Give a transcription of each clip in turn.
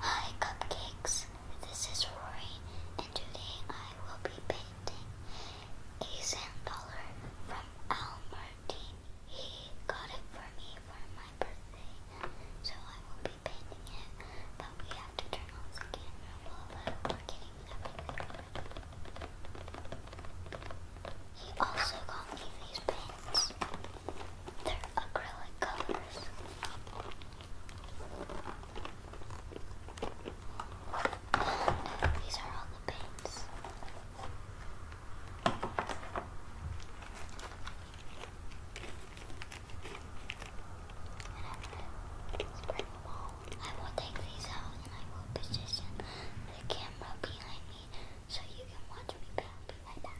Hi Cupcakes, this is Rory and today I will be painting a sand dollar from Al Martin. He got it for me for my birthday, so I will be painting it, but we have to turn off the camera while we're getting He also got me these paints. They're acrylic colors. These are all the paints. i will take these out and I will position the camera behind me so you can watch me back behind that.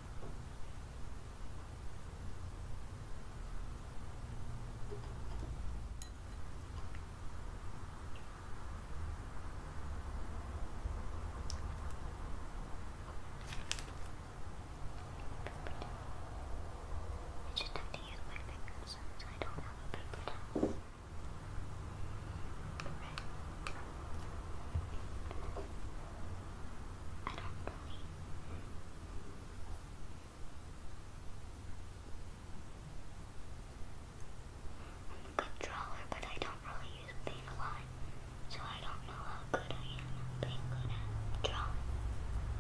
I just have to use my fingers since I don't have a paper towel. Right. I don't really. I'm a good drawer, but I don't really use paint a lot, so I don't know how good I am at drawing.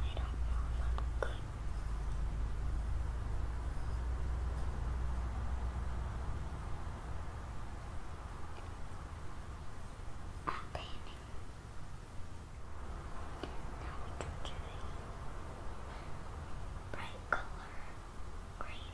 I don't know if good. Atene. Now we can do a bright color green.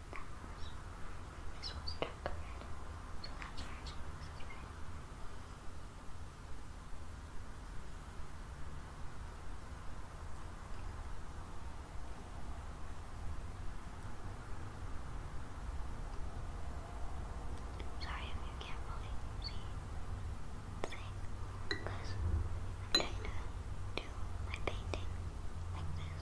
This Sorry if you can't really see the thing, because I'm trying do my painting like this.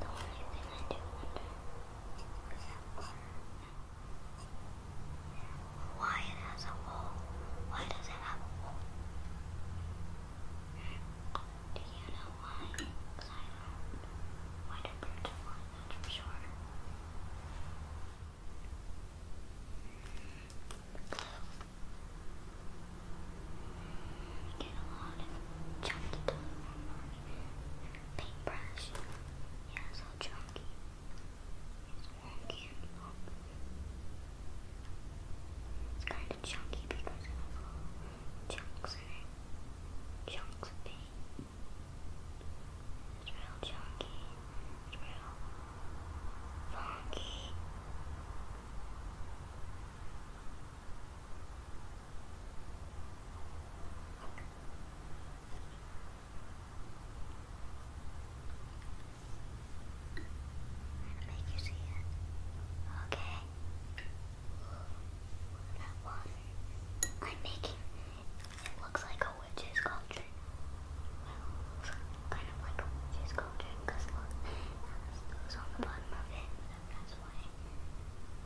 The why it has a hole. Why does it have a hole? Do you know why? Because I don't. Why do birds fly? That's for sure. Get a lot of chunky toy paintbrush. Yeah, so chunky. It's wonky It's kind of chunky because of chunks in it. Chunks of paint. It's real chunky. It's real funky. I'm gonna make you see it. Okay. That one I'm making it looks like a witch's cauldron. Well, kind of like a witch's cauldron look, there's those on the bottom of it, that's why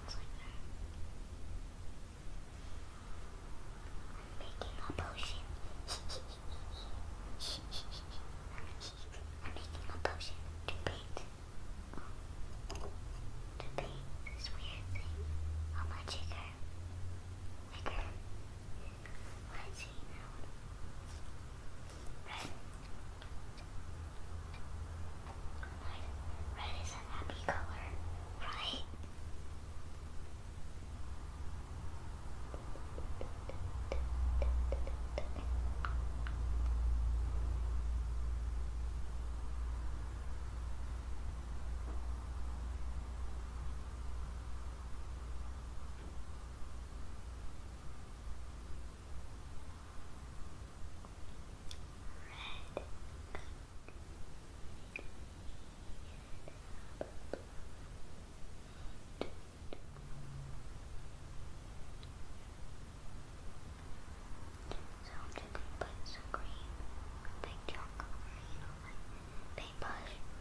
it's like that. I'm making a potion. I'm making a potion to paint. To paint this weird thing on my checker. Like a Red. Red. is a happy color, right? So I'm just gonna put some green, big chunk of green on my paintbrush.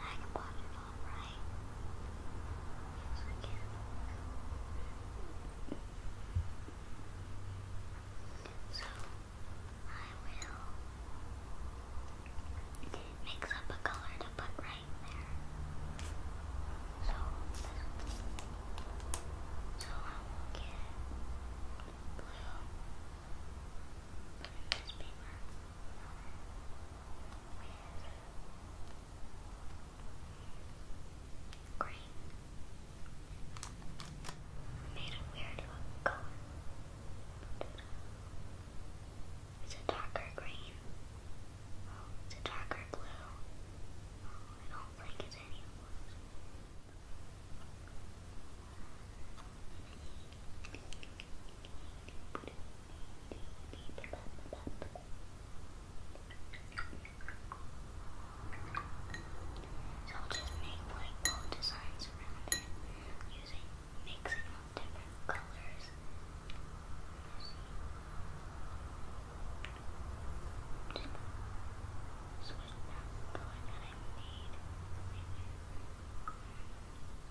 I can pop it on, right? Yes, I can. So, I will mix up a color to put right there. So, so I will get blue. Put Green. Made a weird color. It's a darker green. Oh, it's a darker blue. Oh, I don't think it's any so I'll just make like little designs around it using mixing up different colors. Just switch that color that I made.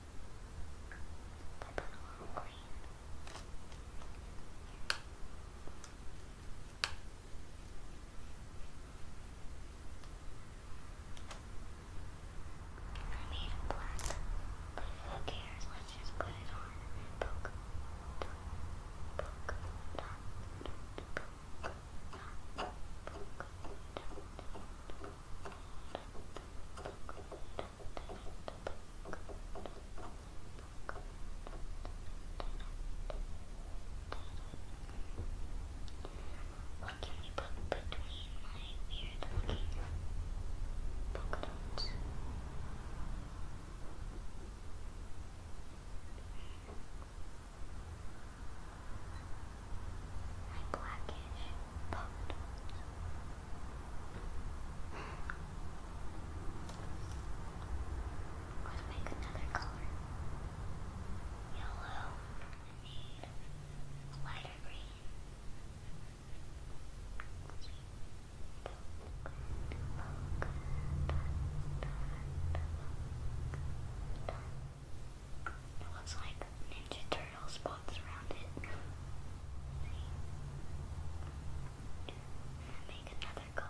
the Banana I made it black, but who cares? Let's just put it on. What can you put between my weird looking book notes? My blackish Pop-Tarts. Let's make another color. Yellow. I need lighter green. It looks like Ninja Turtles thoughts around it. make another color.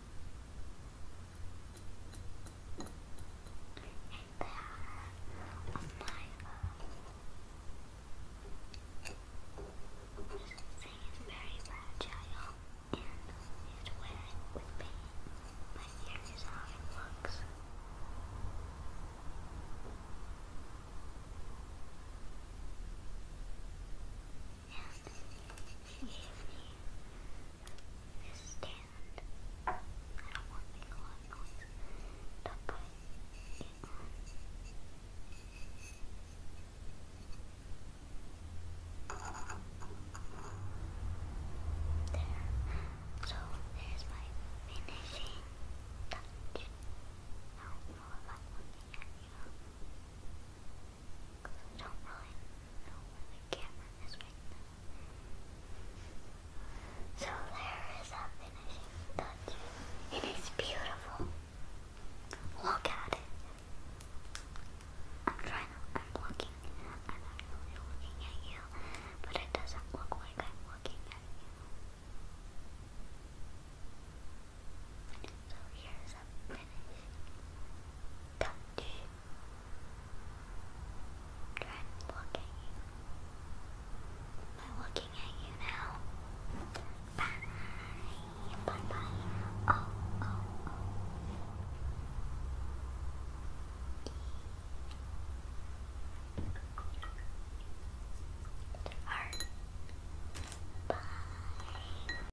And there my own. Thing is very fragile and it with pain. But here is how it Yes. Leave me. Just stand. I don't want to make a lot of noise. There. So there's my finishing touch. I don't know if I you. Because So there is a finishing touch. And it's beautiful. Look at it. I'm trying I'm looking, I'm not looking at you, but it doesn't look like I'm looking at you. So here's a finished touch. Try and at you. Am looking at you now? Bye. Bye bye. Oh, oh, oh. Heart. Bye.